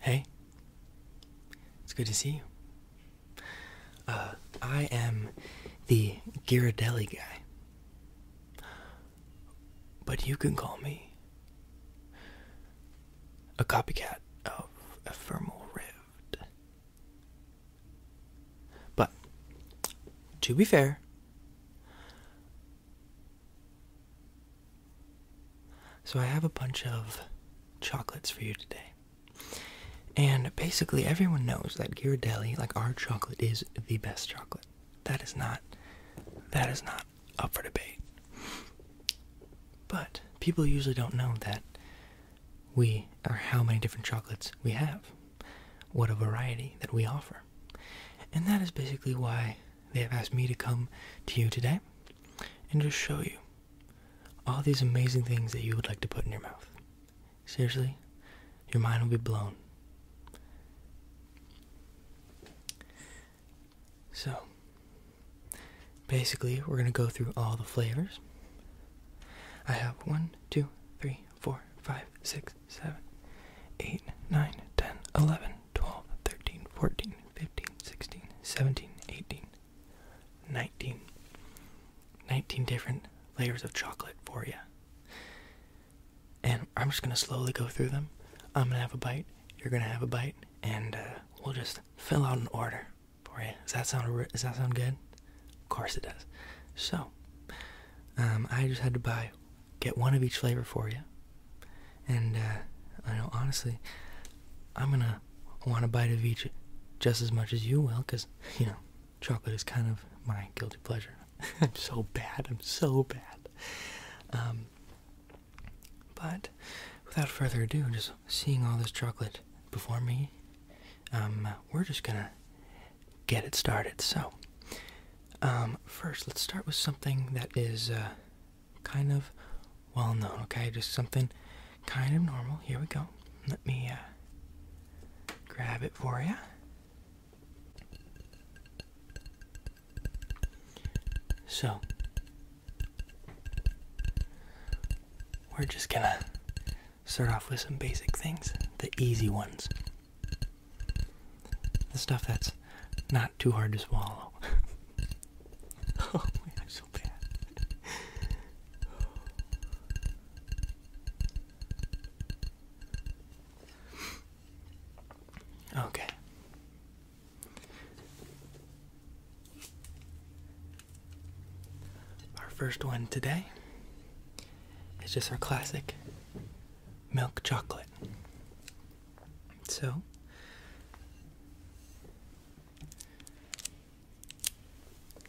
Hey, it's good to see you. Uh, I am the Giradelli guy, but you can call me a copycat of Ephemeral Rift. But, to be fair, so I have a bunch of chocolates for you today. And basically, everyone knows that Ghirardelli, like our chocolate, is the best chocolate. That is not, that is not up for debate. But people usually don't know that we are how many different chocolates we have, what a variety that we offer. And that is basically why they have asked me to come to you today and just show you all these amazing things that you would like to put in your mouth. Seriously, your mind will be blown. So, basically, we're going to go through all the flavors. I have 1, 2, 3, 4, 5, 6, 7, 8, 9, 10, 11, 12, 13, 14, 15, 16, 17, 18, 19. 19 different layers of chocolate for you. And I'm just going to slowly go through them. I'm going to have a bite, you're going to have a bite, and uh, we'll just fill out an order for you. Does that sound does that sound good? Of course it does. So, um, I just had to buy, get one of each flavor for you, and uh, I know honestly, I'm gonna want a bite of each just as much as you will, cause you know, chocolate is kind of my guilty pleasure. I'm so bad. I'm so bad. Um, but without further ado, just seeing all this chocolate before me, um, we're just gonna get it started. So, um, first, let's start with something that is uh, kind of well known, okay? Just something kind of normal. Here we go. Let me uh, grab it for you. So, we're just gonna start off with some basic things, the easy ones. The stuff that's not too hard to swallow. oh I'm so bad. Okay. Our first one today is just our classic milk chocolate. So,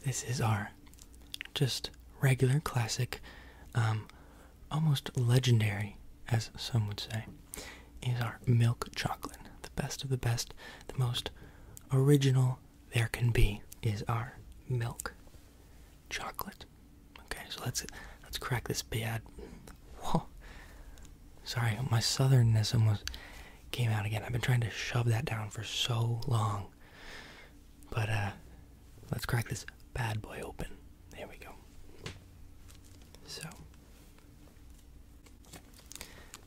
this is our just regular classic, um, almost legendary, as some would say, is our milk chocolate. The best of the best, the most original there can be is our milk chocolate. Okay, so let's let's crack this bad. Sorry, my southernness almost came out again. I've been trying to shove that down for so long. But uh let's crack this bad boy open. There we go. So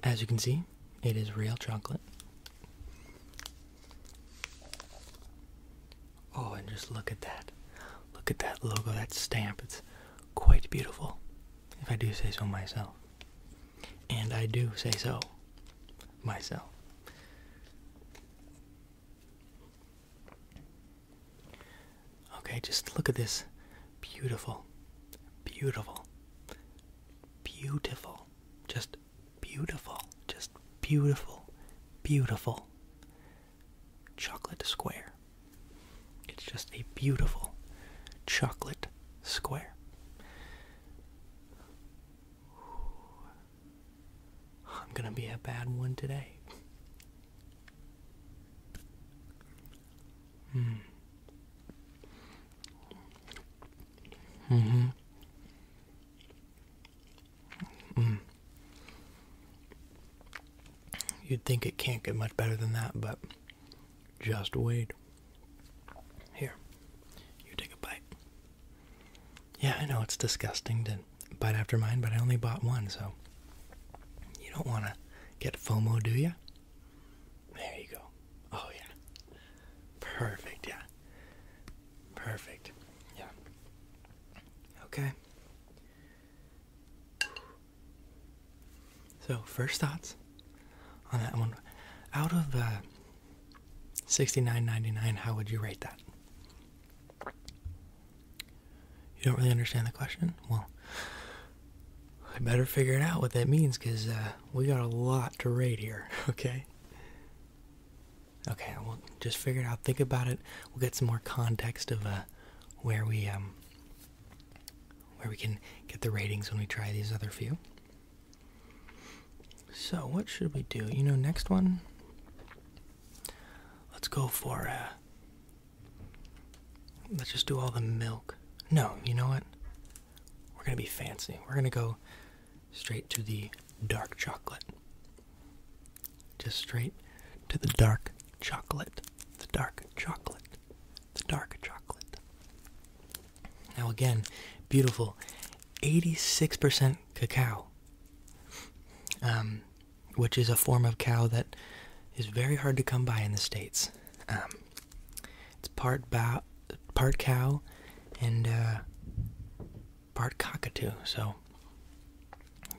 as you can see, it is real chocolate. Oh, and just look at that. Look at that logo, that stamp. It's quite beautiful, if I do say so myself. And I do say so myself. Okay, just look at this. Beautiful. Beautiful. Beautiful. Just beautiful. Just beautiful. Beautiful. Chocolate square. It's just a beautiful chocolate square. I'm gonna be a bad one today. Mm. Mm-hmm. Mm. hmm you would think it can't get much better than that, but just wait. Here, you take a bite. Yeah, I know it's disgusting to bite after mine, but I only bought one, so you don't want to get FOMO, do you? There you go. Oh, yeah. Perfect, yeah. Perfect, yeah. Okay. So, first thoughts on that one. Out of uh, 69 99 how would you rate that? You don't really understand the question? Well, I better figure it out what that means because uh, we got a lot to rate here, okay? Okay, we'll just figure it out. Think about it. We'll get some more context of uh, where we um, where we can get the ratings when we try these other few. So what should we do? You know, next one. Let's go for uh, Let's just do all the milk. No, you know what? We're going to be fancy. We're going to go straight to the dark chocolate. Just straight to the dark chocolate. The dark chocolate. The dark chocolate. Now, again, beautiful 86% cacao, um, which is a form of cow that is very hard to come by in the States. Um, it's part bow, part cow, and uh, part cockatoo. So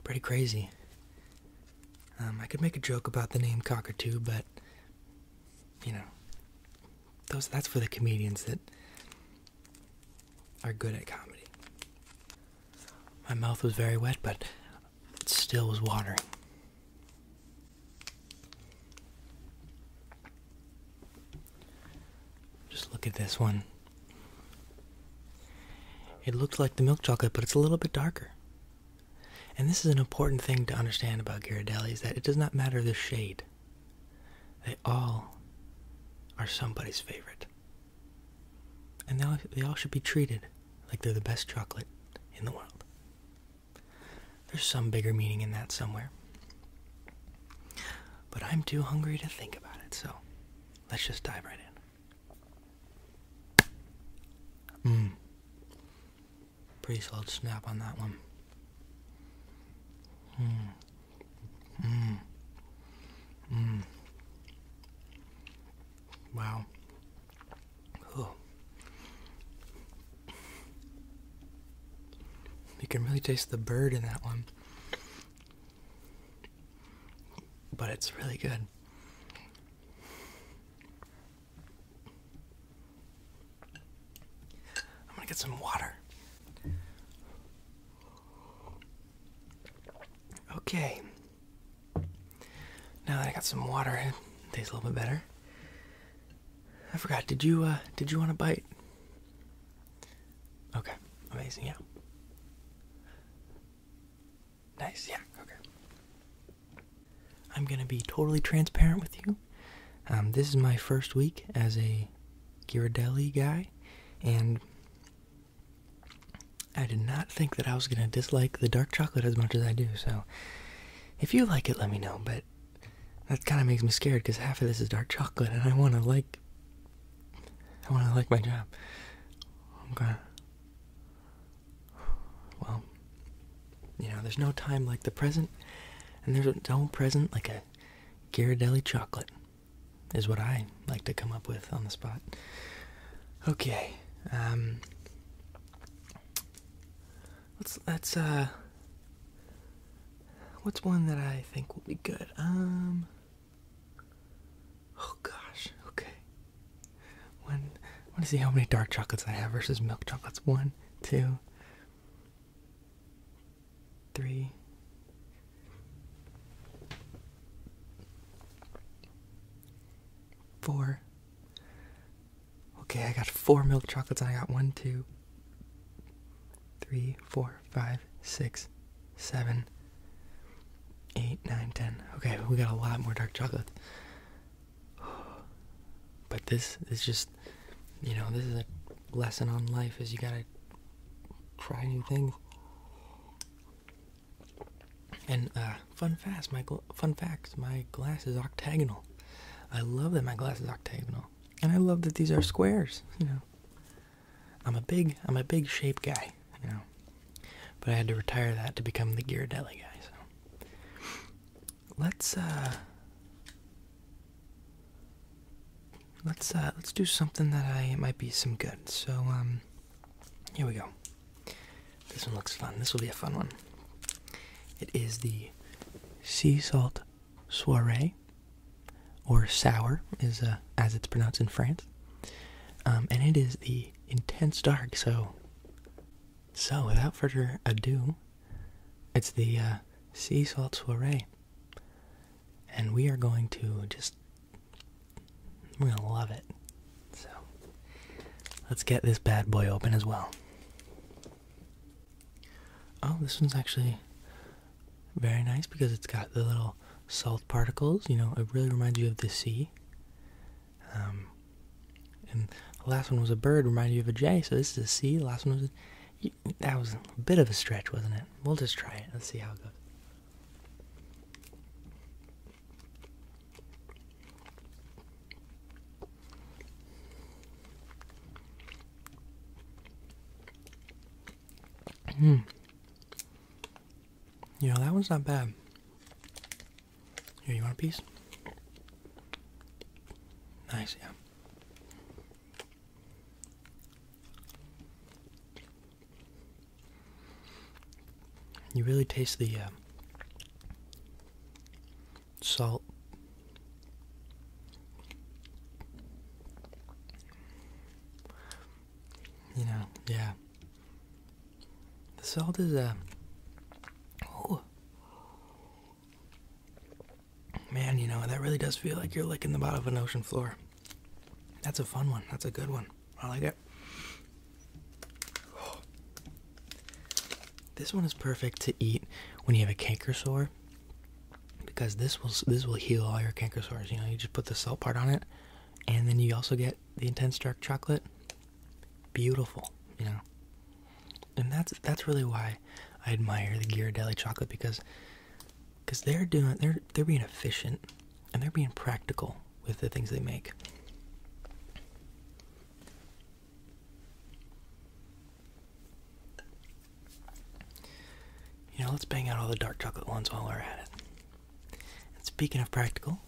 pretty crazy. Um, I could make a joke about the name cockatoo, but you know, those that's for the comedians that are good at comedy. My mouth was very wet, but it still was watering. Just look at this one. It looks like the milk chocolate, but it's a little bit darker. And this is an important thing to understand about Ghirardelli is that it does not matter the shade. They all are somebody's favorite. And they all, they all should be treated like they're the best chocolate in the world. There's some bigger meaning in that somewhere. But I'm too hungry to think about it, so let's just dive right in. Mmm. Pretty solid snap on that one. Mmm. Mmm. Mmm. Wow. Oh. You can really taste the bird in that one. But it's really good. I'm gonna get some water. Okay. Now that I got some water, it tastes a little bit better. I forgot. Did you uh did you want a bite? Okay. Amazing. Yeah. Nice. Yeah. Okay. I'm going to be totally transparent with you. Um, this is my first week as a Ghirardelli guy, and I did not think that I was going to dislike the dark chocolate as much as I do, so if you like it, let me know. But that kind of makes me scared because half of this is dark chocolate, and I want to like. I want to like my job. i Well, you know, there's no time like the present, and there's no present like a Ghirardelli chocolate, is what I like to come up with on the spot. Okay, um, let's let's uh what's one that I think will be good? Um Oh gosh, okay. One I wanna see how many dark chocolates I have versus milk chocolates. One, two, three, four. Okay, I got four milk chocolates and I got one, two, three, four, five, six, seven, eight, nine, ten. Okay, we got a lot more dark chocolate. But this is just, you know, this is a lesson on life is you gotta try new things. And uh, fun fast, Michael fun fact my glass is octagonal. I love that my glass is octagonal. And I love that these are squares, you know. I'm a big I'm a big shape guy, you know. But I had to retire that to become the Ghirardelli guy, so let's uh let's uh let's do something that I might be some good. So um here we go. This one looks fun. This will be a fun one. It is the sea salt soiree, or sour, is uh, as it's pronounced in France, um, and it is the intense dark. So, so without further ado, it's the uh, sea salt soiree, and we are going to just we're gonna love it. So, let's get this bad boy open as well. Oh, this one's actually very nice because it's got the little salt particles. You know, it really reminds you of the sea. Um, and the last one was a bird, reminded you of a jay. So this is a C. The last one was that was a bit of a stretch, wasn't it? We'll just try it. Let's see how it goes. Hmm. know that one's not bad. Here, you want a piece? Nice, yeah. You really taste the uh, salt. You know, yeah. The salt is a. Uh, oh. Man, you know, that really does feel like you're licking the bottom of an ocean floor. That's a fun one. That's a good one. I like it. This one is perfect to eat when you have a canker sore because this will this will heal all your canker sores. You know, you just put the salt part on it, and then you also get the intense dark chocolate. Beautiful, you know. And that's that's really why I admire the Ghirardelli chocolate because because they're doing they're they're being efficient and they're being practical with the things they make. You know, let's bang out all the dark chocolate ones while we're at it. speaking of practical,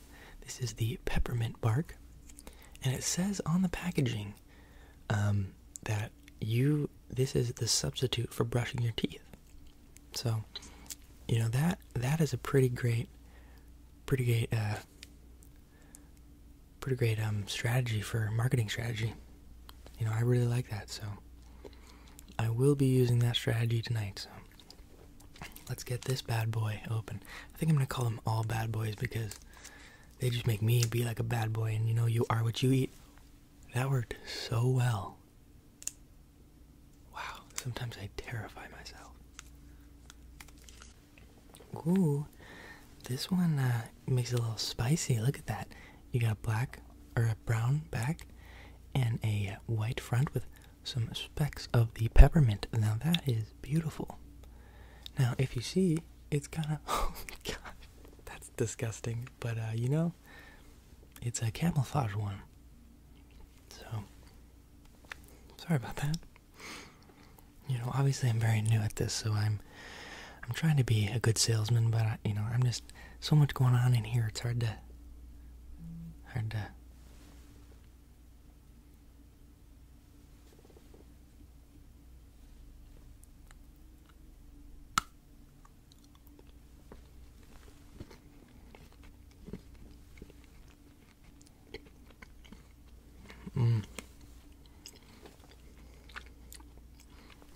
this is the peppermint bark, and it says on the packaging um, that you this is the substitute for brushing your teeth. So, you know that that is a pretty great, pretty great uh, pretty great um, strategy for marketing strategy. You know, I really like that, so I will be using that strategy tonight. So let's get this bad boy open. I think I'm gonna call them all bad boys because they just make me be like a bad boy, and you know, you are what you eat. That worked so well. Wow, sometimes I terrify myself. Ooh, this one uh, makes it a little spicy. Look at that. You got a black or a brown back and a white front with some specks of the peppermint. Now that is beautiful. Now, if you see, it's kind of oh god, that's disgusting. But uh, you know, it's a camouflage one. So sorry about that you know, obviously I'm very new at this, so I'm I'm trying to be a good salesman, but I, you know, I'm just so much going on in here. It's hard to hard to Mm.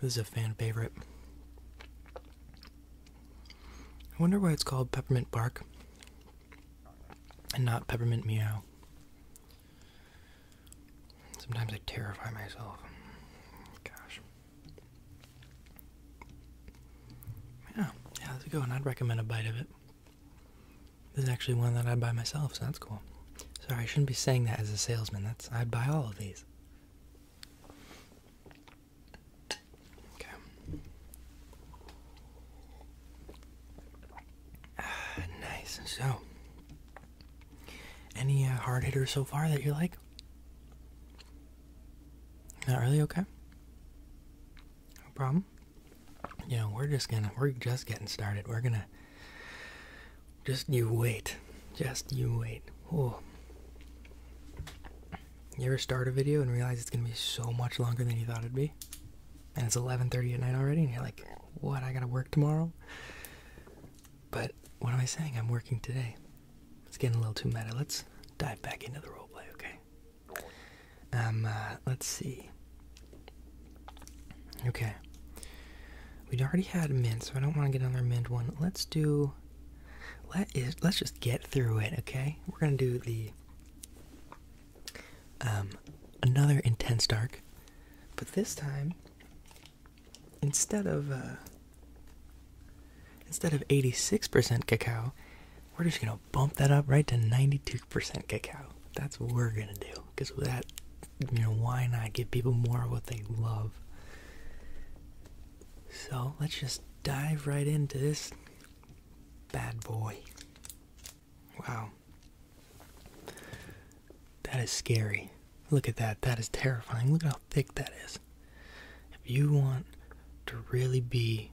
This is a fan favorite. I wonder why it's called peppermint bark and not peppermint meow. Sometimes I terrify myself. Gosh. Yeah, yeah, that's a good one. I'd recommend a bite of it. This is actually one that I buy myself, so that's cool. Sorry, I shouldn't be saying that as a salesman. That's I'd buy all of these. Okay. Ah, nice. So, any uh, hard hitters so far that you like? Not really. Okay. No problem. You know, we're just gonna we're just getting started. We're gonna just you wait. Just you wait. Oh. You ever start a video and realize it's gonna be so much longer than you thought it'd be? And it's 11:30 at night already, and you're like, "What? I gotta work tomorrow." But what am I saying? I'm working today. It's getting a little too meta. Let's dive back into the roleplay, okay? Um, uh, let's see. Okay. We'd already had mint, so I don't want to get another mint one. Let's do. Let is. Let's just get through it. Okay. We're gonna do the. Um, another intense dark, but this time. Instead of. Uh, instead of 86% cacao, we're just gonna bump that up right to 92% cacao. That's what we're gonna do because that you know, why not give people more of what they love? So let's just dive right into this bad boy. Wow. That is scary. Look at that. That is terrifying. Look how thick that is. If you want to really be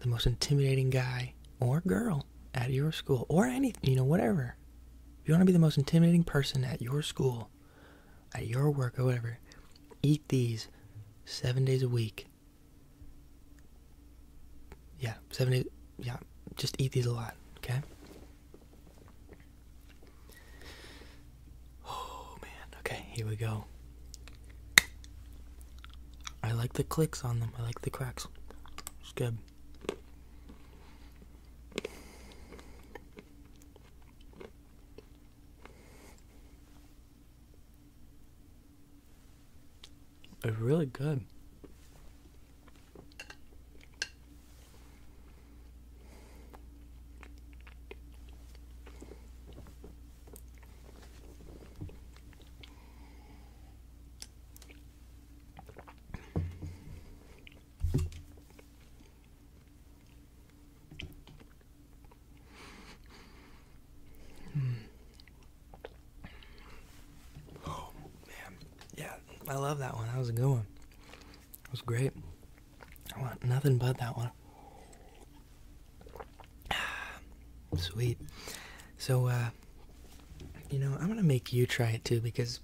the most intimidating guy or girl at your school or anything, you know, whatever, if you want to be the most intimidating person at your school, at your work, or whatever, eat these seven days a week. Yeah, seven days. Yeah, just eat these a lot, okay? Oh man, okay, here we go. I like the clicks on them, I like the cracks. It's good. They're really good. Oh man, yeah, I love that one. That was a good one. It was great. I want nothing but that one. Sweet. So, uh, you know, I'm gonna make you try it too because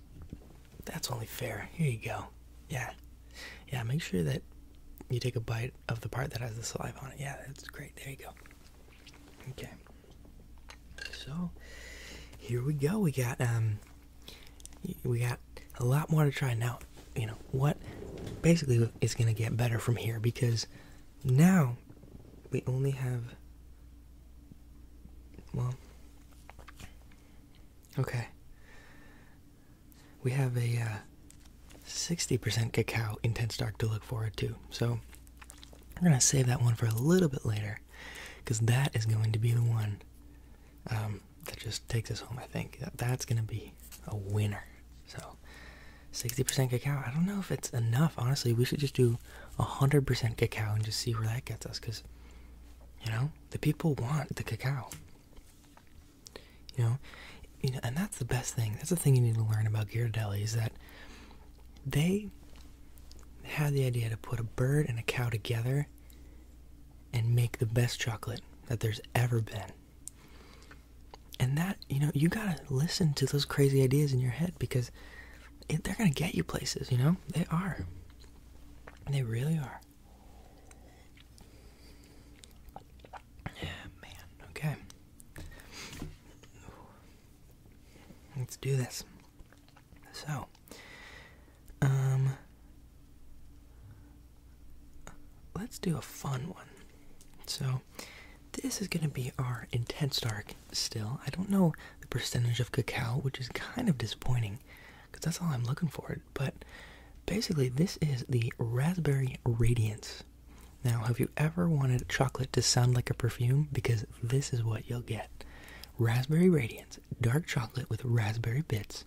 that's only fair. Here you go. Yeah. Yeah, make sure that you take a bite of the part that has the saliva on it. Yeah, that's great. There you go. Okay. So, here we go. We got um we got a lot more to try now. You know, what basically is going to get better from here because now we only have well Okay. We have a 60% uh, cacao intense dark to look forward to. So we're going to save that one for a little bit later because that is going to be the one um, that just takes us home, I think. That's going to be a winner. So 60% cacao. I don't know if it's enough, honestly. We should just do 100% cacao and just see where that gets us because, you know, the people want the cacao. You know, you know, and that's the best thing. That's the thing you need to learn about Ghirardelli is that they had the idea to put a bird and a cow together and make the best chocolate that there's ever been. And that, you know, you gotta listen to those crazy ideas in your head because they're gonna get you places, you know? They are. They really are. Yeah, oh, man. Okay. Let's do this. So, um, let's do a fun one. So, this is going to be our intense dark still. I don't know the percentage of cacao, which is kind of disappointing because that's all I'm looking for. But basically, this is the Raspberry Radiance. Now, have you ever wanted chocolate to sound like a perfume? Because this is what you'll get Raspberry Radiance, dark chocolate with raspberry bits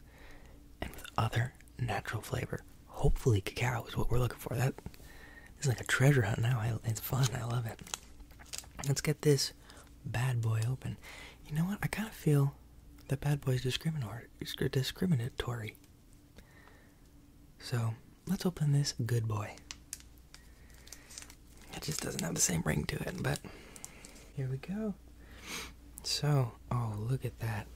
and with other natural flavor. Hopefully, cacao is what we're looking for. That is like a treasure hunt now. It's fun. I love it. Let's get this bad boy open. You know what? I kind of feel that bad boy is discriminatory. So let's open this good boy. It just doesn't have the same ring to it, but here we go. So, oh, look at that.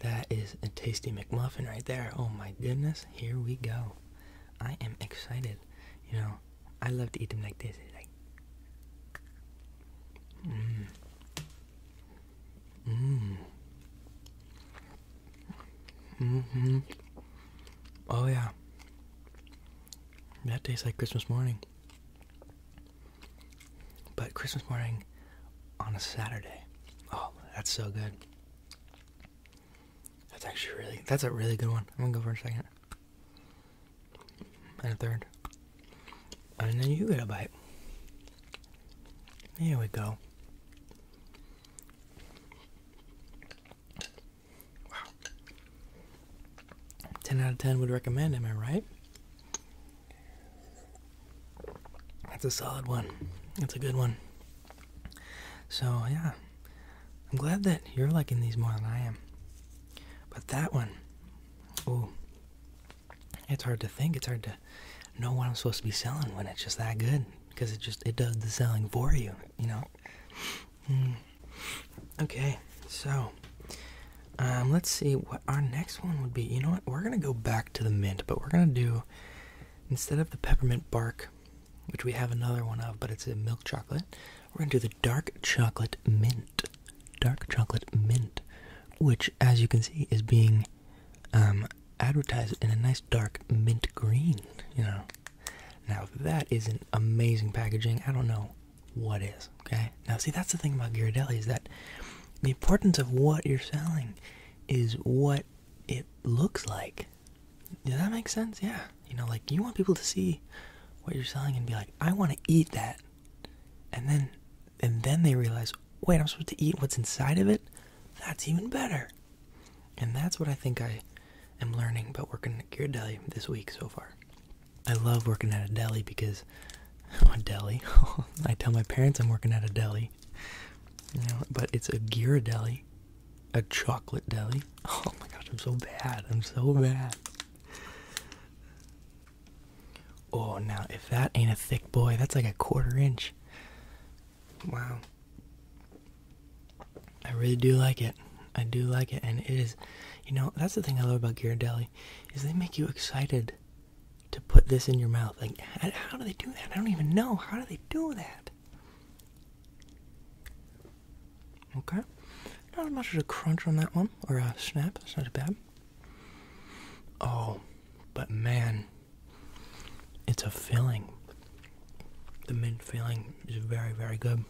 That is a tasty McMuffin right there. Oh my goodness, here we go. I am excited. You know, I love to eat them like this. Mm, mm, mm, oh yeah, that tastes like Christmas morning. But Christmas morning on a Saturday. Oh, that's so good. That's actually really. That's a really good one. I'm gonna go for a second and a third, and then you get a bite. There we go. Wow. 10 out of 10 would recommend, am I right? That's a solid one. That's a good one. So, yeah. I'm glad that you're liking these more than I am. But that one, Oh, It's hard to think. It's hard to know what I'm supposed to be selling when it's just that good because it just it does the selling for you, you know. Hmm. Okay. So, um, let's see what our next one would be. You know what? We're going to go back to the mint, but we're going to do instead of the peppermint bark, which we have another one of, but it's a milk chocolate. We're going to the dark chocolate mint. Dark chocolate mint, which, as you can see, is being um, advertised in a nice dark mint green, you know. Now, that is an amazing packaging. I don't know what is, okay? Now, see, that's the thing about Ghirardelli is that the importance of what you're selling is what it looks like. Does that make sense? Yeah. You know, like, you want people to see what you're selling and be like, I want to eat that and then and then they realize wait i'm supposed to eat what's inside of it that's even better and that's what i think i am learning about working at a deli this week so far i love working at a deli because a deli i tell my parents i'm working at a deli but it's a gear deli a chocolate deli oh my gosh i'm so bad i'm so bad Oh, now if that ain't a thick boy, that's like a quarter inch. Wow. I really do like it. I do like it. And it is, you know, that's the thing I love about Ghirardelli, is they make you excited to put this in your mouth. Like, how do they do that? I don't even know. How do they do that? Okay. Not as much as a crunch on that one, or a snap. That's not bad. Oh, but man, it's a feeling. The mint feeling is very, very good.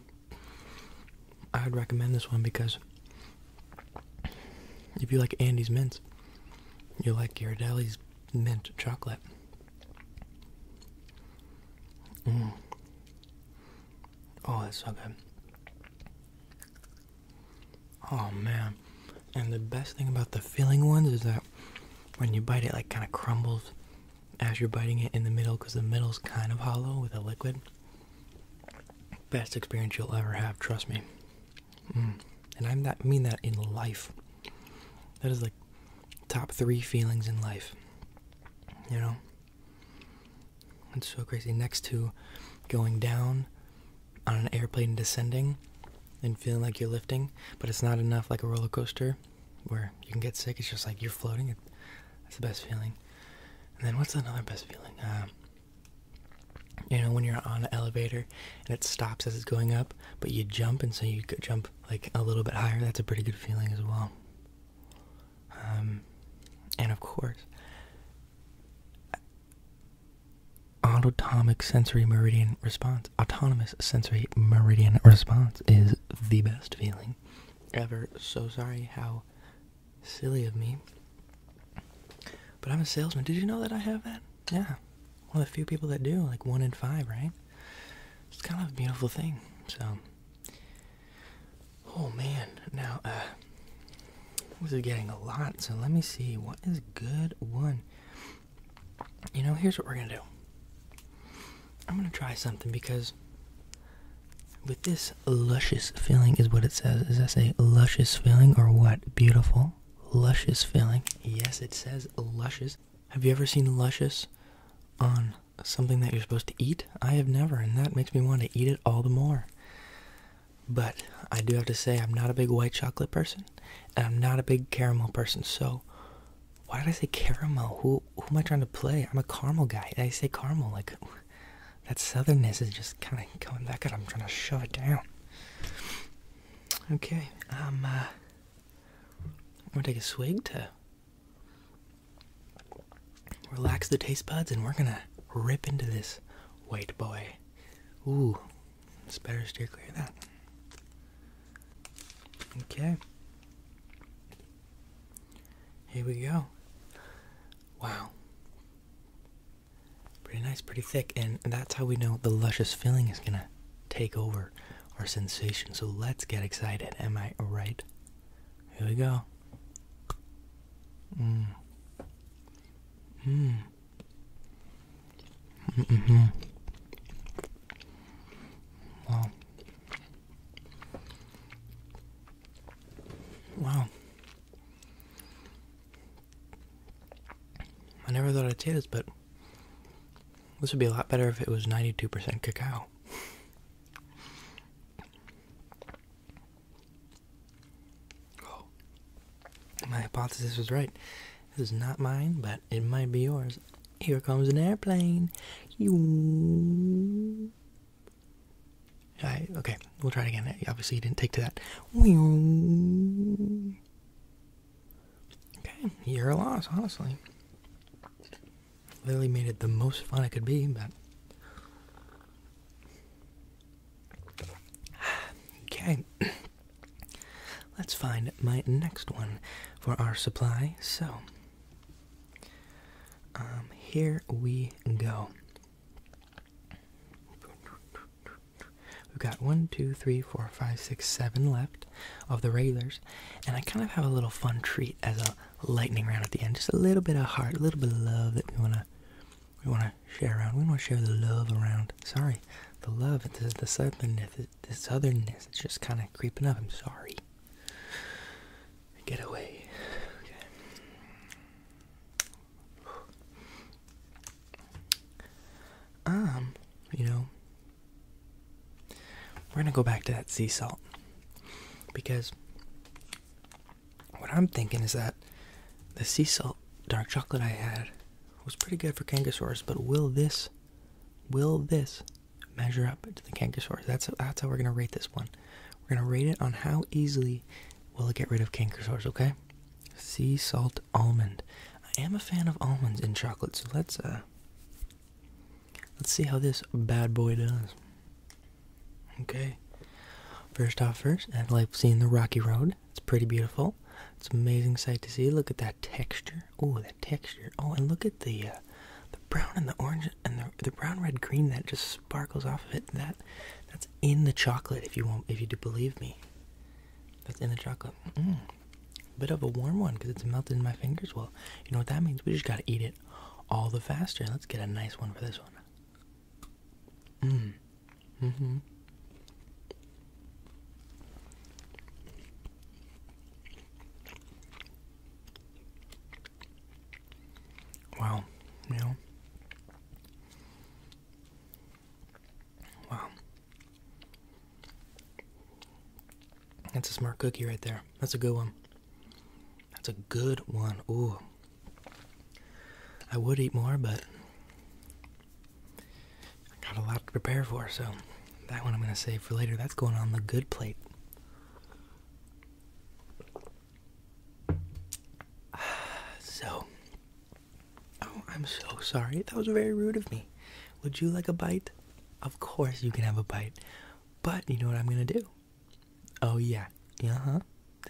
I would recommend this one because if you like Andy's mints, you like Ghirardelli's mint chocolate. Mm. Oh, that's so good. Oh man. And the best thing about the filling ones is that when you bite it, like kind of crumbles as you're biting it in the middle because the middle's kind of hollow with a liquid. Best experience you'll ever have, trust me. Mm. And I'm that mean that in life. That is like top three feelings in life. You know, it's so crazy. Next to going down on an airplane descending and feeling like you're lifting, but it's not enough like a roller coaster where you can get sick. It's just like you're floating. That's the best feeling. And then what's another best feeling? Uh, you know, when you're on an elevator and it stops as it's going up, but you jump, and so you jump like a little bit higher. That's a pretty good feeling as well. Um, and of course, autonomic sensory meridian response, autonomous sensory meridian response is the best feeling ever. So sorry how silly of me. But I'm a salesman. Did you know that I have that? Yeah. One of the few people that do, like one in five, right? It's kind of a beautiful thing. So, Oh man, now uh, this is getting a lot, so let me see what is good one. You know, here's what we're gonna do. I'm gonna try something because with this luscious feeling is what it says. Is that a luscious feeling or what? Beautiful, luscious feeling. Yes, it says luscious. Have you ever seen luscious on something that you're supposed to eat? I have never, and that makes me want to eat it all the more. But I do have to say, I'm not a big white chocolate person, and I'm not a big caramel person. So, why did I say caramel? Who who am I trying to play? I'm a caramel guy. I say caramel like that. Southernness is just kind of coming back at. I'm trying to shove it down. Okay, um, uh, I'm gonna take a swig too relax the taste buds, and we're gonna rip into this white boy. Ooh, it's better steer clear of that. Okay. Here we go. Wow. Pretty nice, pretty thick, and that's how we know the luscious filling is gonna take over our sensation. So let's get excited. Am I right? Here we go. Mm. Mm. Mm -hmm. Wow. Wow. I never thought I'd say this, but this would be a lot better if it was 92% cacao. Oh, my hypothesis was right. This is not mine, but it might be yours. Here comes an airplane. You. I, okay, we'll try it again. Obviously, you didn't take to that. Okay, you're a loss, honestly. Literally made it the most fun it could be, but Okay. Let's find my next one for our supply. So, um, here we go. We've got one, two, three, four, five, six, seven left of the regulars, and I kind of have a little fun treat as a lightning round at the end. Just a little bit of heart, a little bit of love that we wanna we wanna share around. We want to share the love around. Sorry, the love, the, the southernness, This otherness. it's just kind of creeping up. I'm sorry. Get away. Um, you know, we're going to go back to that sea salt because what I'm thinking is that the sea salt dark chocolate I had was pretty good for Kangasaurus, but will this will this measure up to the Kangasaurus? That's that's how we're gonna rate this one. We're gonna rate it on how easily will it get rid of Kangasaurus, okay? Sea salt almond. I am a fan of almonds in chocolate, so let's uh let's see how this bad boy does. Okay. First off first, I've like seen the Rocky Road it's pretty beautiful. It's an amazing sight to see. Look at that texture. Oh, that texture. Oh, and look at the uh, the brown and the orange and the the brown, red, green that just sparkles off of it. That that's in the chocolate. If you want, if you do believe me, that's in the chocolate. Mm. Bit of a warm one because it's melted in my fingers. Well, you know what that means. We just gotta eat it all the faster. Let's get a nice one for this one. Mm. Mm hmm Wow, you know. Wow. That's a smart cookie right there. That's a good one. That's a good one. Ooh, I would eat more, but I got a lot to prepare for, so that one I'm going to save for later. That's going on the good plate. So, oh, I'm so sorry. That was very rude of me. Would you like a bite? Of course you can have a bite. But you know what I'm going to do? Oh, yeah. Uh huh.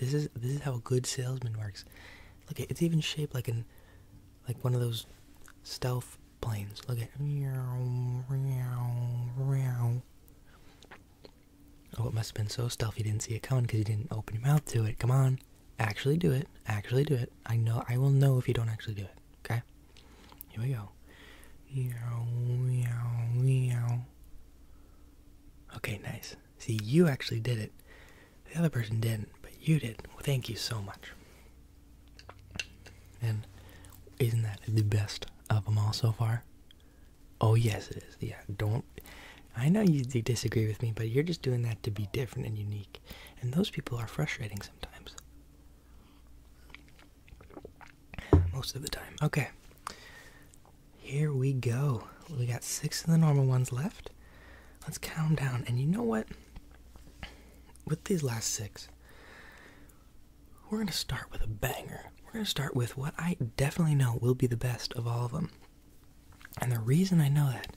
This is this is how a good salesman works. Look, it's even shaped like an like one of those stealth planes. Look at Oh, it must have been so stealthy you didn't see it coming because you didn't open your mouth to it. Come on. Actually do it. Actually do it. I know I will know if you don't actually do it. Okay? Here we go. Okay, nice. See, you actually did it. The other person didn't, but you did. thank you so much. And isn't that the best of them all so far? Oh, yes, it is. Yeah, don't. I know you disagree with me, but you're just doing that to be different and unique. And those people are frustrating sometimes. Most of the time. Okay. Here we go. We got six of the normal ones left. Let's count down. And you know what? With these last six, we're going to start with a banger. We're going to start with what I definitely know will be the best of all of them. And the reason I know that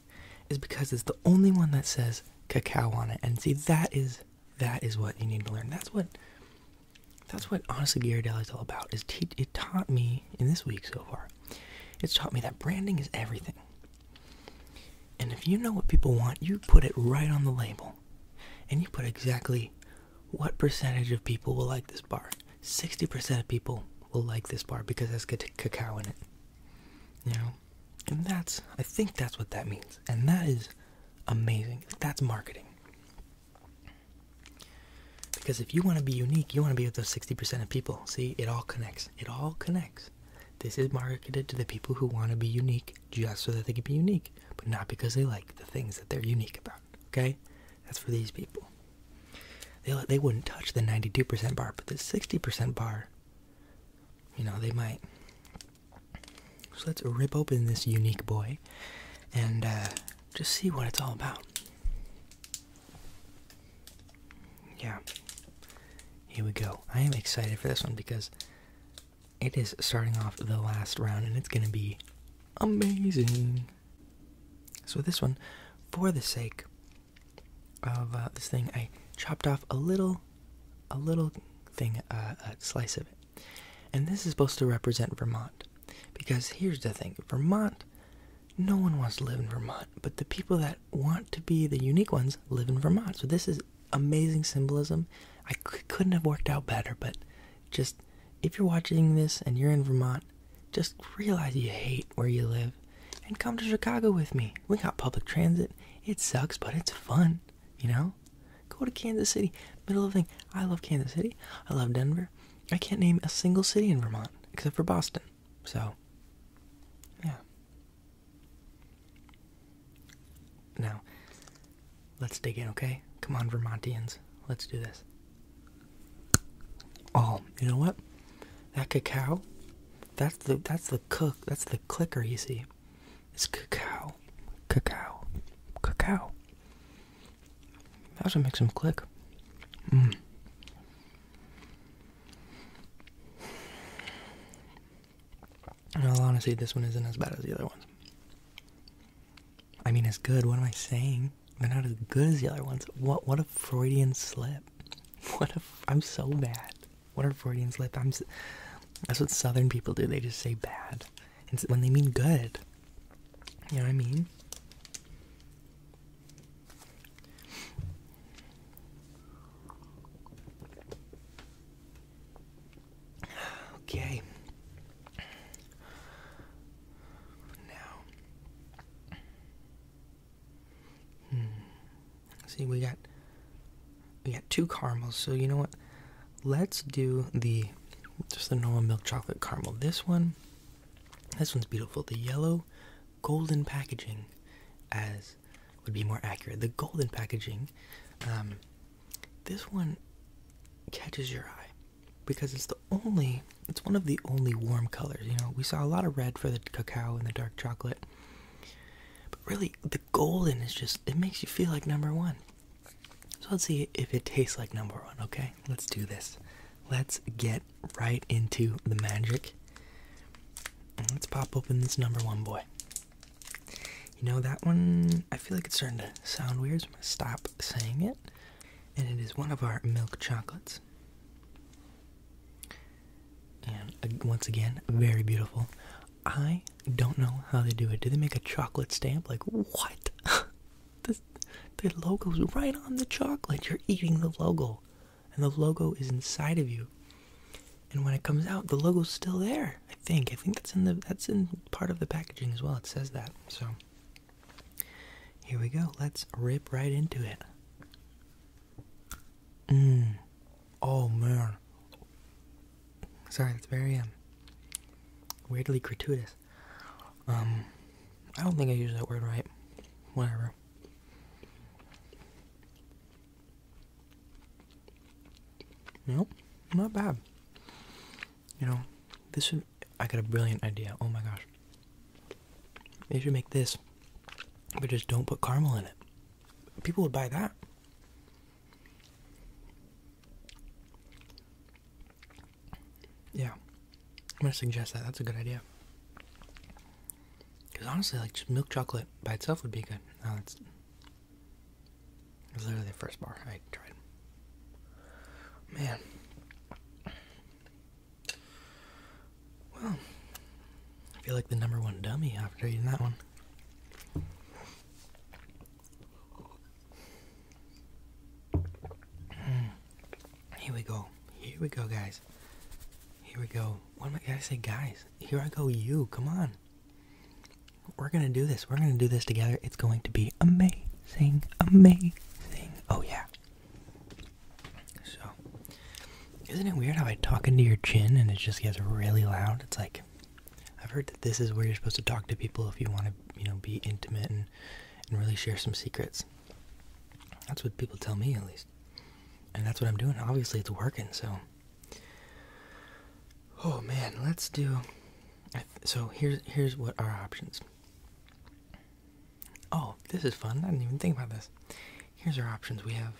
is because it's the only one that says cacao on it. And see, that is that is what you need to learn. That's what that's what honestly Ghirardelli is all about. Is teach it taught me in this week so far. It's taught me that branding is everything. And if you know what people want, you put it right on the label. And you put exactly what percentage of people will like this bar. 60% of people will like this bar because it has cacao in it. You know? And that's, I think that's what that means. And that is amazing. That's marketing. Because if you want to be unique, you want to be with those 60% of people. See, it all connects. It all connects. This is marketed to the people who want to be unique just so that they can be unique, but not because they like the things that they're unique about. Okay? That's for these people. They, they wouldn't touch the 92% bar, but the 60% bar, you know, they might. So let's rip open this unique boy and uh, just see what it's all about yeah, here we go. I am excited for this one because it is starting off the last round and it's going to be amazing. So, this one, for the sake of uh, this thing, I chopped off a little, a little thing, uh, a slice of it. And this is supposed to represent Vermont. Because here's the thing Vermont no one wants to live in Vermont, but the people that want to be the unique ones live in Vermont. So this is amazing symbolism. I c couldn't have worked out better, but just if you're watching this and you're in Vermont, just realize you hate where you live and come to Chicago with me. We got public transit. It sucks, but it's fun, you know? Go to Kansas City. Middle of the thing. I love Kansas City. I love Denver. I can't name a single city in Vermont except for Boston. So, yeah. Now, let's dig in, okay? Come on, Vermontians. Let's do this. Oh, you know what? That cacao, that's the that's the cook, that's the clicker you see. It's cacao, cacao, cacao. That's what make some click. Mm. In all honesty, this one isn't as bad as the other ones. I mean, it's good. What am I saying? They're not as good as the other ones. What? What a Freudian slip! What a! I'm so bad. What a Freudian slip! I'm. that's what Southern people do. They just say bad, when they mean good. You know what I mean? Okay. Now, hmm. see, we got we got two caramels. So you know what? Let's do the just the normal milk chocolate caramel. This one, this one's beautiful. The yellow golden packaging, as would be more accurate. The golden packaging, um, this one catches your eye because it's the only, it's one of the only warm colors. You know, we saw a lot of red for the cacao and the dark chocolate, but really the golden is just, it makes you feel like number one. So let's see if it tastes like number one, okay? Let's do this. Let's get right into the magic. let's pop open this number one boy. You know, that one, I feel like it's starting to sound weird, I'm going to stop saying it. And it is one of our milk chocolates. And uh, once again, very beautiful. I don't know how they do it. Do they make a chocolate stamp? Like, what? the, the logo's right on the chocolate. You're eating the logo and the logo is inside of you. And when it comes out, the logo's still there. I think. I think that's in the that's in part of the packaging as well. It says that. So here we go. Let's rip right into it. Mmm. Oh man. Sorry, That's very um, weirdly gratuitous. Um, I don't think I use that word right. Whatever. Nope, not bad. You know, this should. I got a brilliant idea. Oh my gosh. They should make this, but just don't put caramel in it. People would buy that. Yeah. I'm gonna suggest that. That's a good idea. Because honestly, like milk chocolate by itself would be good. No, it's, it's literally the first bar I tried. Man. Well, I feel like the number one dummy after eating that one. Hmm. Here we go. Here we go, guys. Here we go. What am I going to say, guys? Here I go, you. Come on. We're going to do this. We're going to do this together. It's going to be amazing. Amazing. Oh, yeah. So, isn't it weird how I talk into your chin and it just gets really loud? It's like, I've heard that this is where you're supposed to talk to people if you want to, you know, be intimate and, and really share some secrets. That's what people tell me, at least. And that's what I'm doing. Obviously, it's working, so. Oh man, let's do. So here's here's what our options. Oh, this is fun. I didn't even think about this. Here's our options. We have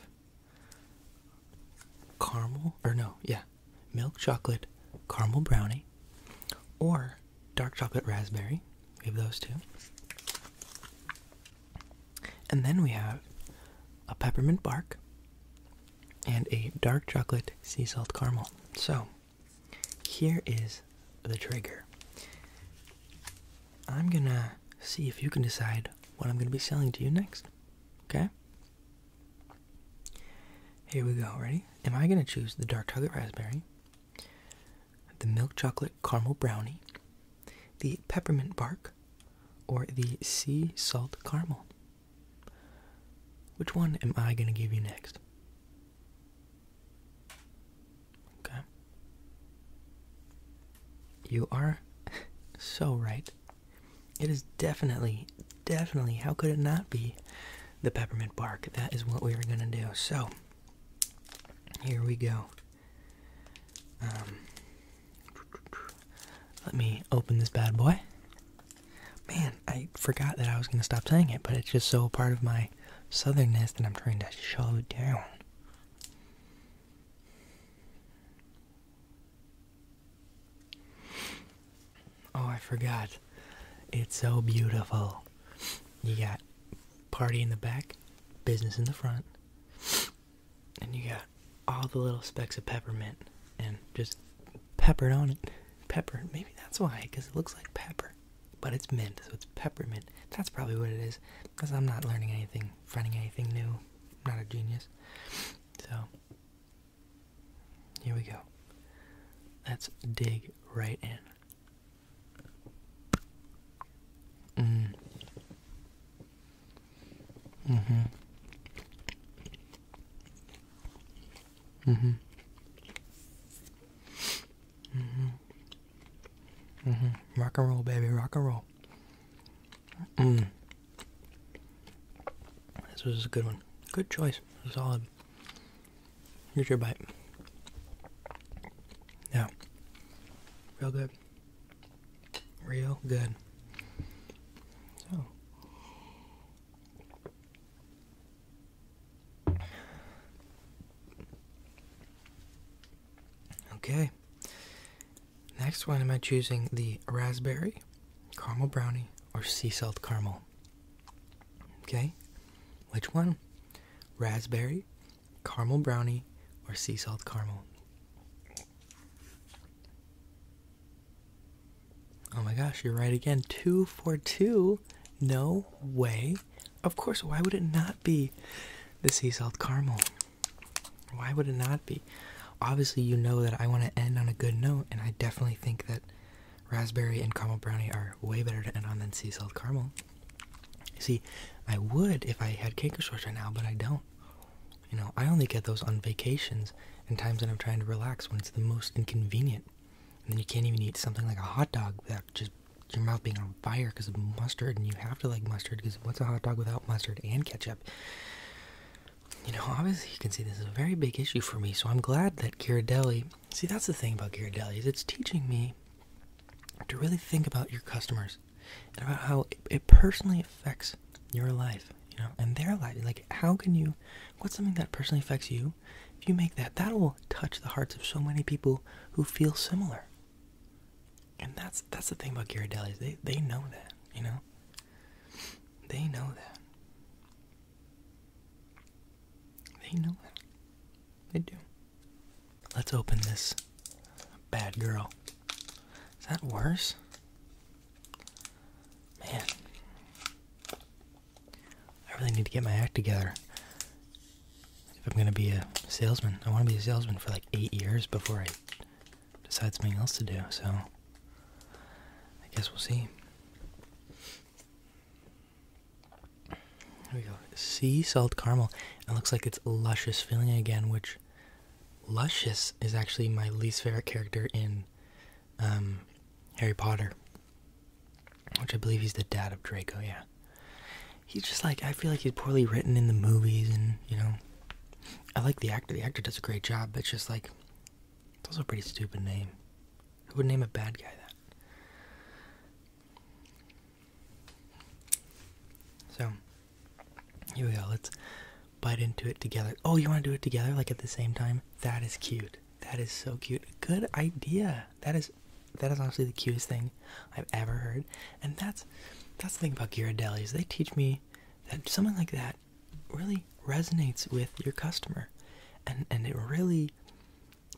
caramel or no, yeah, milk chocolate caramel brownie or dark chocolate raspberry. We have those two. And then we have a peppermint bark and a dark chocolate sea salt caramel. So here is the trigger. I'm gonna see if you can decide what I'm gonna be selling to you next. Okay? Here we go, ready? Am I gonna choose the dark chocolate raspberry, the milk chocolate caramel brownie, the peppermint bark, or the sea salt caramel? Which one am I going to give you next? Okay. You are so right. It is definitely, definitely, how could it not be the peppermint bark? That is what we are going to do. So, here we go. Um, let me open this bad boy. Man, I forgot that I was going to stop saying it, but it's just so part of my southernness that I'm trying to shove it down. Oh, I forgot. It's so beautiful. You got party in the back, business in the front and you got all the little specks of peppermint and just peppered on it. Pepper, maybe that's why, because it looks like pepper, but it's mint, so it's peppermint. That's probably what it is, because I'm not learning anything, finding anything new. not a genius. So, here we go. Let's dig right in. Mm. Mm-hmm. Mm-hmm. Mm-hmm. Mm-hmm. Rock and roll, baby, rock and roll. Mm. This was a good one. Good choice. Solid. Here's your bite. Yeah. Real good. Real good. Okay. Next one, am I choosing the raspberry, caramel brownie, or sea salt caramel? Okay. Which one? Raspberry, caramel brownie, or sea salt caramel? Oh my gosh, you're right again. Two for two. No way. Of course, why would it not be the sea salt caramel? Why would it not be? Obviously, you know that I want to end on a good note, and I definitely think that raspberry and caramel brownie are way better to end on than sea salt caramel. See, I would if I had cake or shorts right now, but I don't. You know, I only get those on vacations and times when I'm trying to relax when it's the most inconvenient. And then you can't even eat something like a hot dog without just your mouth being on fire because of mustard, and you have to like mustard because what's a hot dog without mustard and ketchup? You know, obviously you can see this is a very big issue for me, so I'm glad that Ghirardelli. See, that's the thing about Ghirardelli is it's teaching me to really think about your customers listeners and about how it, it personally affects your life, you know, and their life. Like, how can you, what's something that personally affects you? If you make that, that will touch the hearts of so many people who feel similar. And that's that's the thing about Ghirardellis. They they know that, you know. They know that. They know that. They do. Let's open this bad girl. Is that worse? Man. I really need to get my act together. If I'm gonna be a salesman, I wanna be a salesman for like eight years before I decide something else to do, so I guess we'll see. There we go. Sea salt caramel. It looks like it's luscious filling again, which Luscious is actually my least favorite character in um, Harry Potter, which I believe he's the dad of Draco, yeah. He's just like, I feel like he's poorly written in the movies, and you know, I like the actor. The actor does a great job, but it's just like, it's also a pretty stupid name. Who would name a bad guy that? So, here we go. Let's bite into it together. Oh, you want to do it together, like at the same time? That is cute. That is so cute. Good idea. That is that is honestly the cutest thing I've ever heard. And that's that's the thing about Ghirardelli is they teach me that something like that really resonates with your customer, and and it really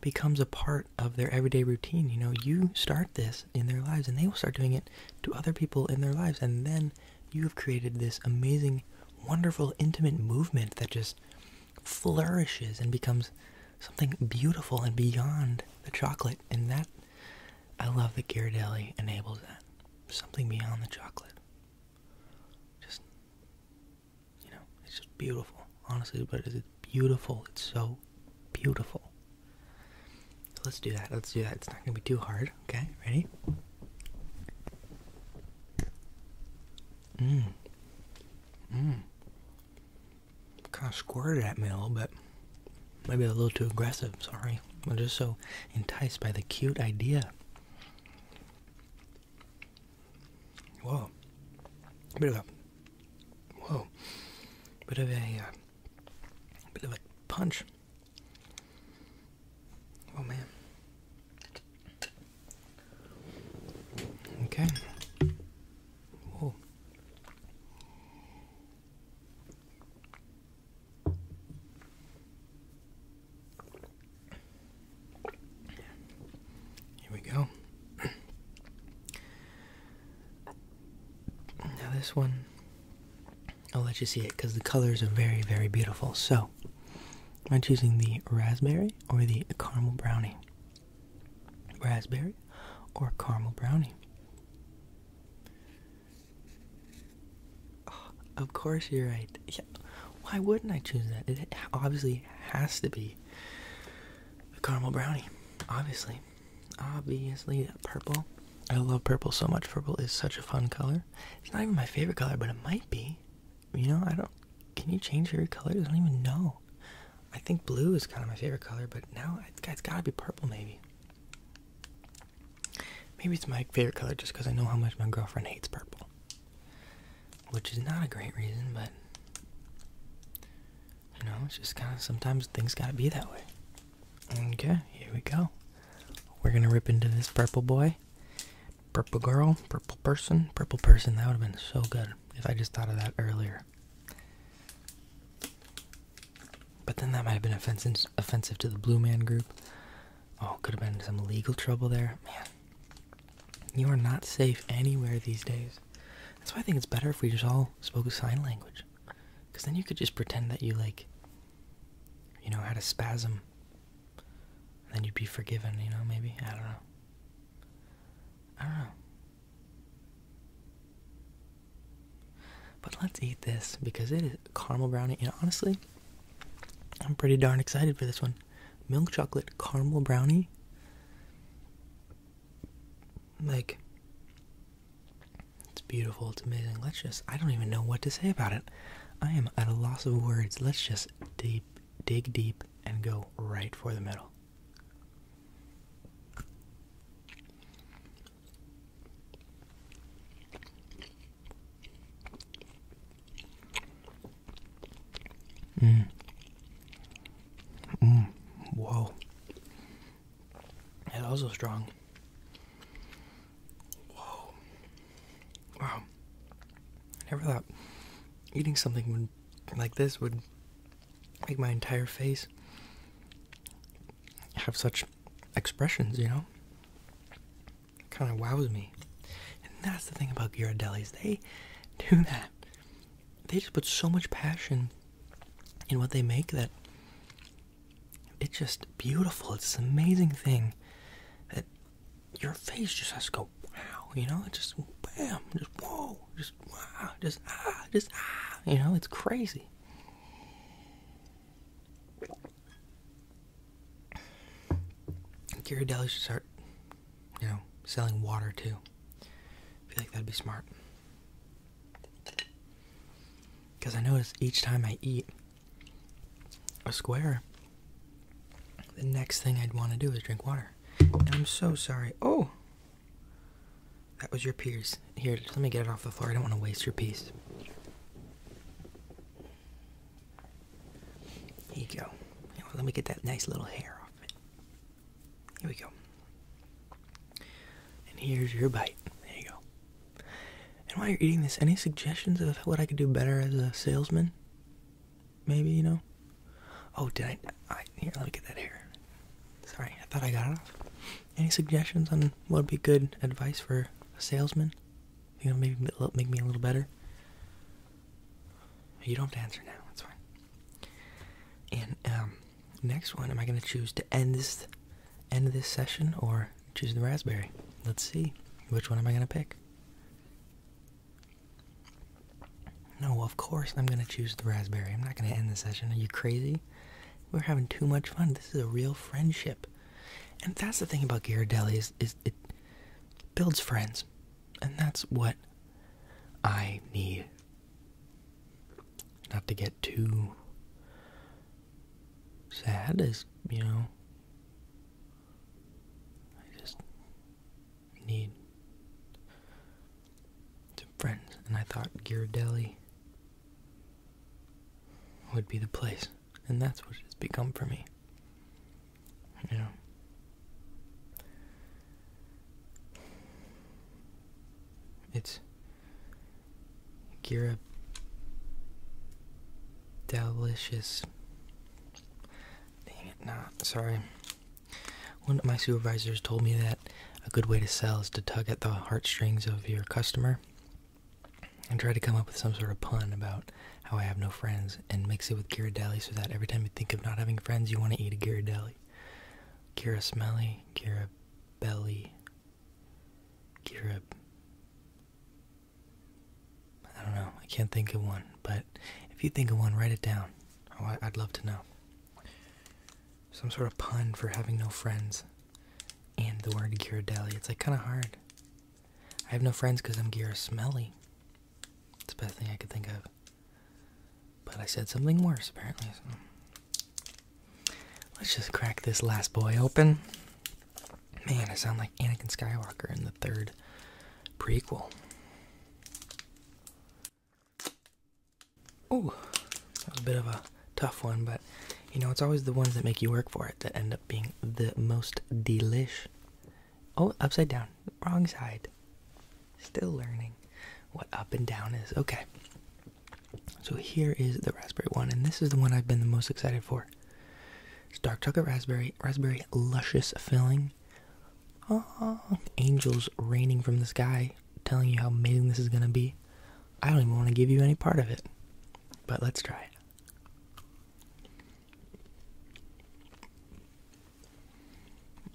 becomes a part of their everyday routine. You know, you start this in their lives, and they will start doing it to other people in their lives, and then you have created this amazing, wonderful, intimate movement that just flourishes and becomes something beautiful and beyond the chocolate. And that, I love that Ghirardelli enables that. Something beyond the chocolate. Just, you know, it's just beautiful. Honestly, but it's beautiful. It's so beautiful. Let's do that. Let's do that. It's not going to be too hard. Okay, ready? Mmm. Mmm. Kind of squirted at me a little bit. Maybe a little too aggressive. Sorry. I'm just so enticed by the cute idea. Whoa. A bit of a. Whoa. Bit of a. Uh, bit of a punch. Oh man. Okay. Whoa. Here we go. Now, this one I'll let you see it because the colors are very, very beautiful. So, am I choosing the raspberry or the caramel brownie? Raspberry or caramel brownie? Oh, of course, you're right. Yeah. Why wouldn't I choose that? It obviously has to be caramel brownie. Obviously. Obviously, purple I love purple so much. Purple is such a fun color. It's not even my favorite color, but it might be. You know, I don't. Can you change your colors? I don't even know. I think blue is kind of my favorite color, but now it's gotta be purple, maybe. Maybe it's my favorite color just because I know how much my girlfriend hates purple. Which is not a great reason, but. You know, it's just kind of sometimes things gotta be that way. Okay, here we go. We're gonna rip into this purple boy, purple girl, purple person, purple person. That would have been so good if I just thought of that earlier. But then that might have been offensive, to the Blue Man group. Oh, could have been some legal trouble there. Man, you are not safe anywhere these days. That's why I think it's better if we just all spoke sign language. Because then you could just pretend that you, like, you know, had a spasm, and then you'd be forgiven, you know, maybe? I don't know. I don't know. But let's eat this because it is caramel brownie, and honestly, I'm pretty darn excited for this one. Milk chocolate caramel brownie. Like, it's beautiful, it's amazing. Let's just, I don't even know what to say about it. I am at a loss of words. Let's just deep, dig deep and go right for the middle. Mm. Mm. Whoa. It's also strong. Whoa. Wow. I never thought eating something like this would make my entire face have such expressions, you know? It kind of wows me. And that's the thing about Ghirardellis. They do that. They just put so much passion in what they make that it's just beautiful. It's this amazing thing that your face just has to go wow, you know? It just bam, just whoa, just wow, just ah, just ah, you know? It's crazy. Ghirardelli should start, you know, selling water too. I feel like that'd be smart. Because I notice each time I eat, a square, the next thing I'd want to do is drink water. I'm so sorry. Oh! That was your piece. Here, let me get it off the floor. I don't want to waste your piece. Here you go. Let me get that nice little hair off it. Here we go. And here's your bite. There you go. And while you're eating this, any suggestions of what I could do better as a salesman? Maybe, you know? Oh, did I? here, let me get that here. Sorry, I thought I got off. Any suggestions on what would be good advice for a salesman? You know, maybe make me a little better? You don't have to answer now, that's fine. And um, next one, am I going to choose to end this end this session or choose the raspberry. Let's see. Which one am I going to pick? No, of course I'm going to choose the raspberry. I'm not going to end the session. Are you crazy? We're having too much fun. This is a real friendship. And that's the thing about Ghirardelli is, is it builds friends. And that's what I need. Not to get too sad as you know, I just need some friends, and I thought Gear Ghirardelli would be the place, and that's what it's become for me. You know. It's Gira delicious. Dang it, not sorry. One of my supervisors told me that a good way to sell is to tug at the heartstrings of your customer and try to come up with some sort of pun about how I have no friends and mix it with Ghirardelli so that every time you think of not having friends, you want to eat a Ghirardelli. Gira smelly, Gira belly, Gira. I don't know. I can't think of one, but if you think of one, write it down. Oh, I'd love to know. Some sort of pun for having no friends and the word Ghirardelli. It's like kind of hard. I have no friends because I'm smelly. It's the best thing I could think of. But I said something worse, apparently. Let's just crack this last boy open. Man, I sound like Anakin Skywalker in the third prequel. Oh, that was a bit of a tough one, but you know, it's always the ones that make you work for it that end up being the most delish. Oh, upside down. Wrong side. Still learning what up and down is. Okay. So here is the raspberry one, and this is the one I've been the most excited for for. It's dark chocolate raspberry, raspberry luscious filling. Oh, angels raining from the sky, telling you how amazing this is gonna be. I don't even want to give you any part of it, but let's try it.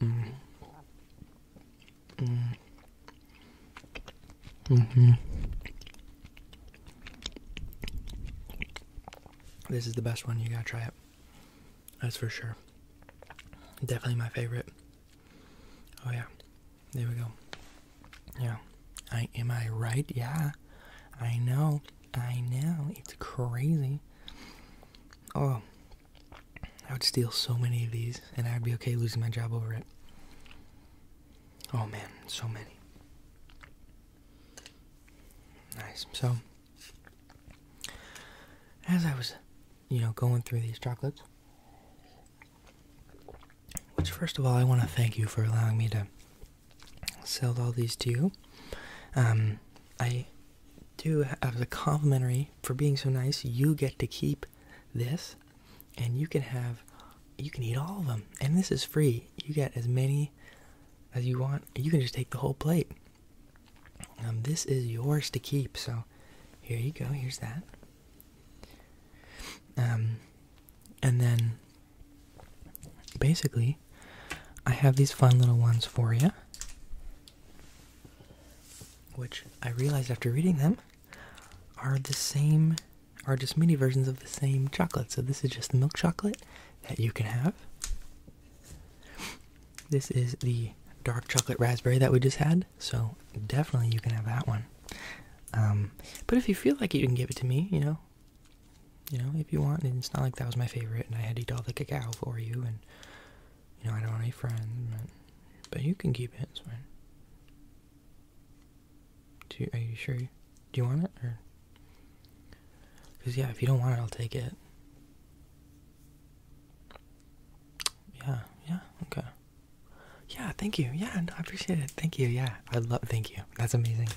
Mm. Mm. Mm-hmm. This is the best one. You gotta try it. That's for sure. Definitely my favorite. Oh, yeah. There we go. Yeah. I am I right? Yeah. I know. I know. It's crazy. Oh. I would steal so many of these and I'd be okay losing my job over it. Oh man, so many. Nice. So, as I was, you know, going through these chocolates, which, first of all, I want to thank you for allowing me to sell all these to you. Um, I do, have a complimentary for being so nice, you get to keep this and you can have, you can eat all of them. And this is free you get as many as you want. You can just take the whole plate. Um, this is yours to keep. So here you go. Here's that. Um, and then basically, I have these fun little ones for you, which I realized after reading them are the same, are just mini versions of the same chocolate. So this is just the milk chocolate, that you can have. This is the dark chocolate raspberry that we just had, so definitely you can have that one. Um, but if you feel like you can give it to me, you know, you know, if you want. it's not like that was my favorite, and I had to eat all the cacao for you, and you know, I don't want any friends, but, but you can keep it. It's fine. Do are you sure? You, do you want it? Because, yeah, if you don't want it, I'll take it. Yeah, yeah, okay. Yeah, thank you. Yeah, I appreciate it. Thank you. Yeah, I love. Thank you. That's amazing.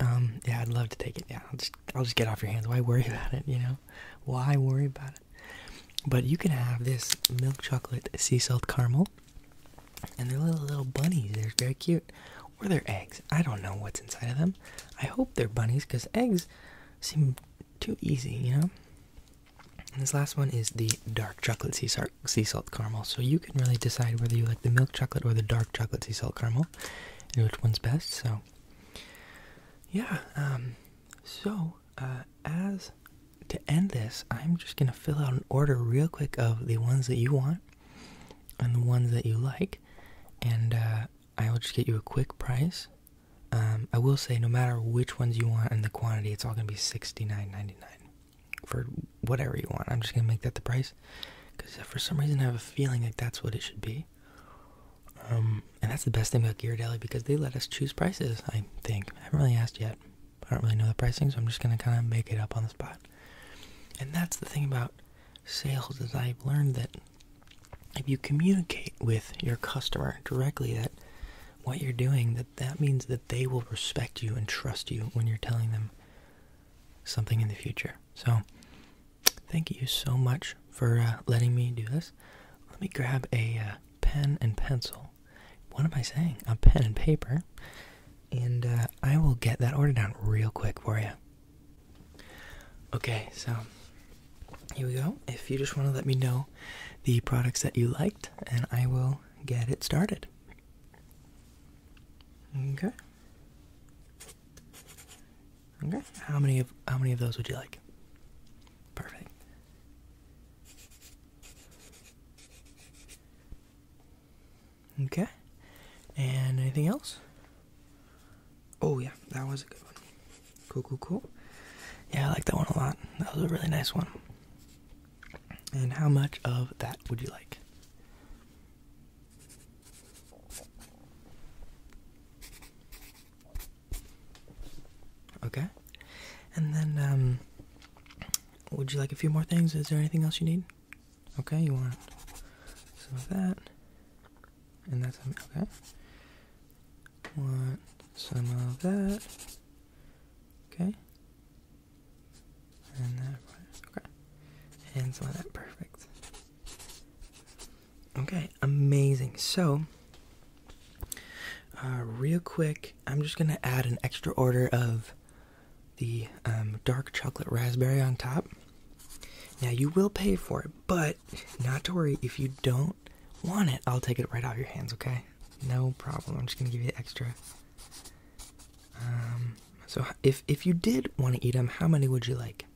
Um, yeah, I'd love to take it. Yeah, I'll just, I'll just get off your hands. Why worry about it? You know, why worry about it? But you can have this milk chocolate sea salt caramel, and they're little little bunnies. They're very cute. Or they eggs. I don't know what's inside of them. I hope they're bunnies because eggs seem too easy, you know? And this last one is the dark chocolate sea, salt caramel. So you can really decide whether you like the milk chocolate or the dark chocolate sea salt caramel and which one's best. So, yeah. Um, so, uh, as to end this, I'm just going to fill out an order real quick of the ones that you want and the ones that you like and uh, I will just get you a quick price. Um, I will say, no matter which ones you want and the quantity, it's all gonna be sixty nine ninety nine for whatever you want. I'm just gonna make that the price because for some reason I have a feeling like that's what it should be. Um, and that's the best thing about Ghirardelli because they let us choose prices. I think I haven't really asked yet. I don't really know the pricing, so I'm just gonna kind of make it up on the spot. And that's the thing about sales is I've learned that if you communicate with your customer directly that what you're doing, that that means that they will respect you and trust you when you're telling them something in the future. So, thank you so much for uh, letting me do this. Let me grab a uh, pen and pencil. What am I saying? A pen and paper. And uh, I will get that order down real quick for you. Okay, so here we go. If you just want to let me know the products that you liked, and I will get it started. Okay. Okay. How many of how many of those would you like? Perfect. Okay. And anything else? Oh yeah, that was a good one. Cool, cool, cool. Yeah, I like that one a lot. That was a really nice one. And how much of that would you like? Okay. And then um would you like a few more things? Is there anything else you need? Okay, you want some of that, and that's okay. Want some of that, okay, and that, okay, and some of that, perfect. Okay, amazing. So, uh, real quick, I'm just gonna add an extra order of the um, dark chocolate raspberry on top. Now you will pay for it, but not to worry, if you don't want it, I'll take it right off your hands, okay? No problem. I'm just gonna give you the extra. Um, so if if you did want to eat them, how many would you like?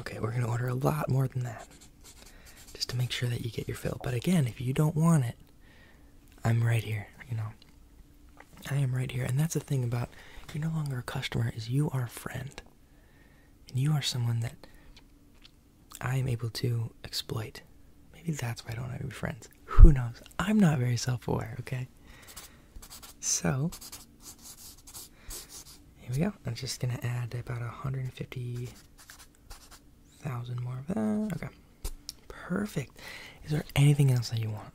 Okay, we're gonna order a lot more than that, just to make sure that you get your fill. But again, if you don't want it, I'm right here. You know, I am right here. And that's the thing about you're no longer a customer is you are a friend. And you are someone that I am able to exploit. Maybe that's why I don't have any friends. Who knows? I'm not very self-aware, okay? So here we go. I'm just gonna add about 150,000 more of that. Okay. Perfect. Is there anything else that you want?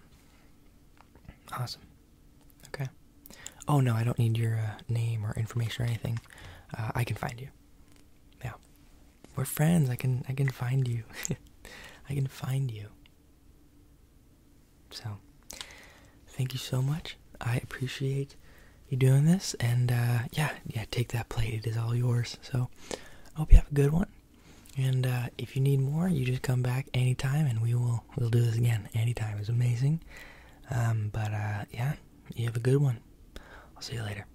Awesome. Okay. Oh no, I don't need your uh, name or information or anything. Uh, I can find you. Yeah, we're friends. I can I can find you. I can find you. So, thank you so much. I appreciate you doing this, and uh, yeah, yeah, take that plate. It is all yours. So, I hope you have a good one. And if you need more, you just come back anytime, and we will we'll do this again anytime. It's amazing. but yeah, you have a good one. I'll see you later.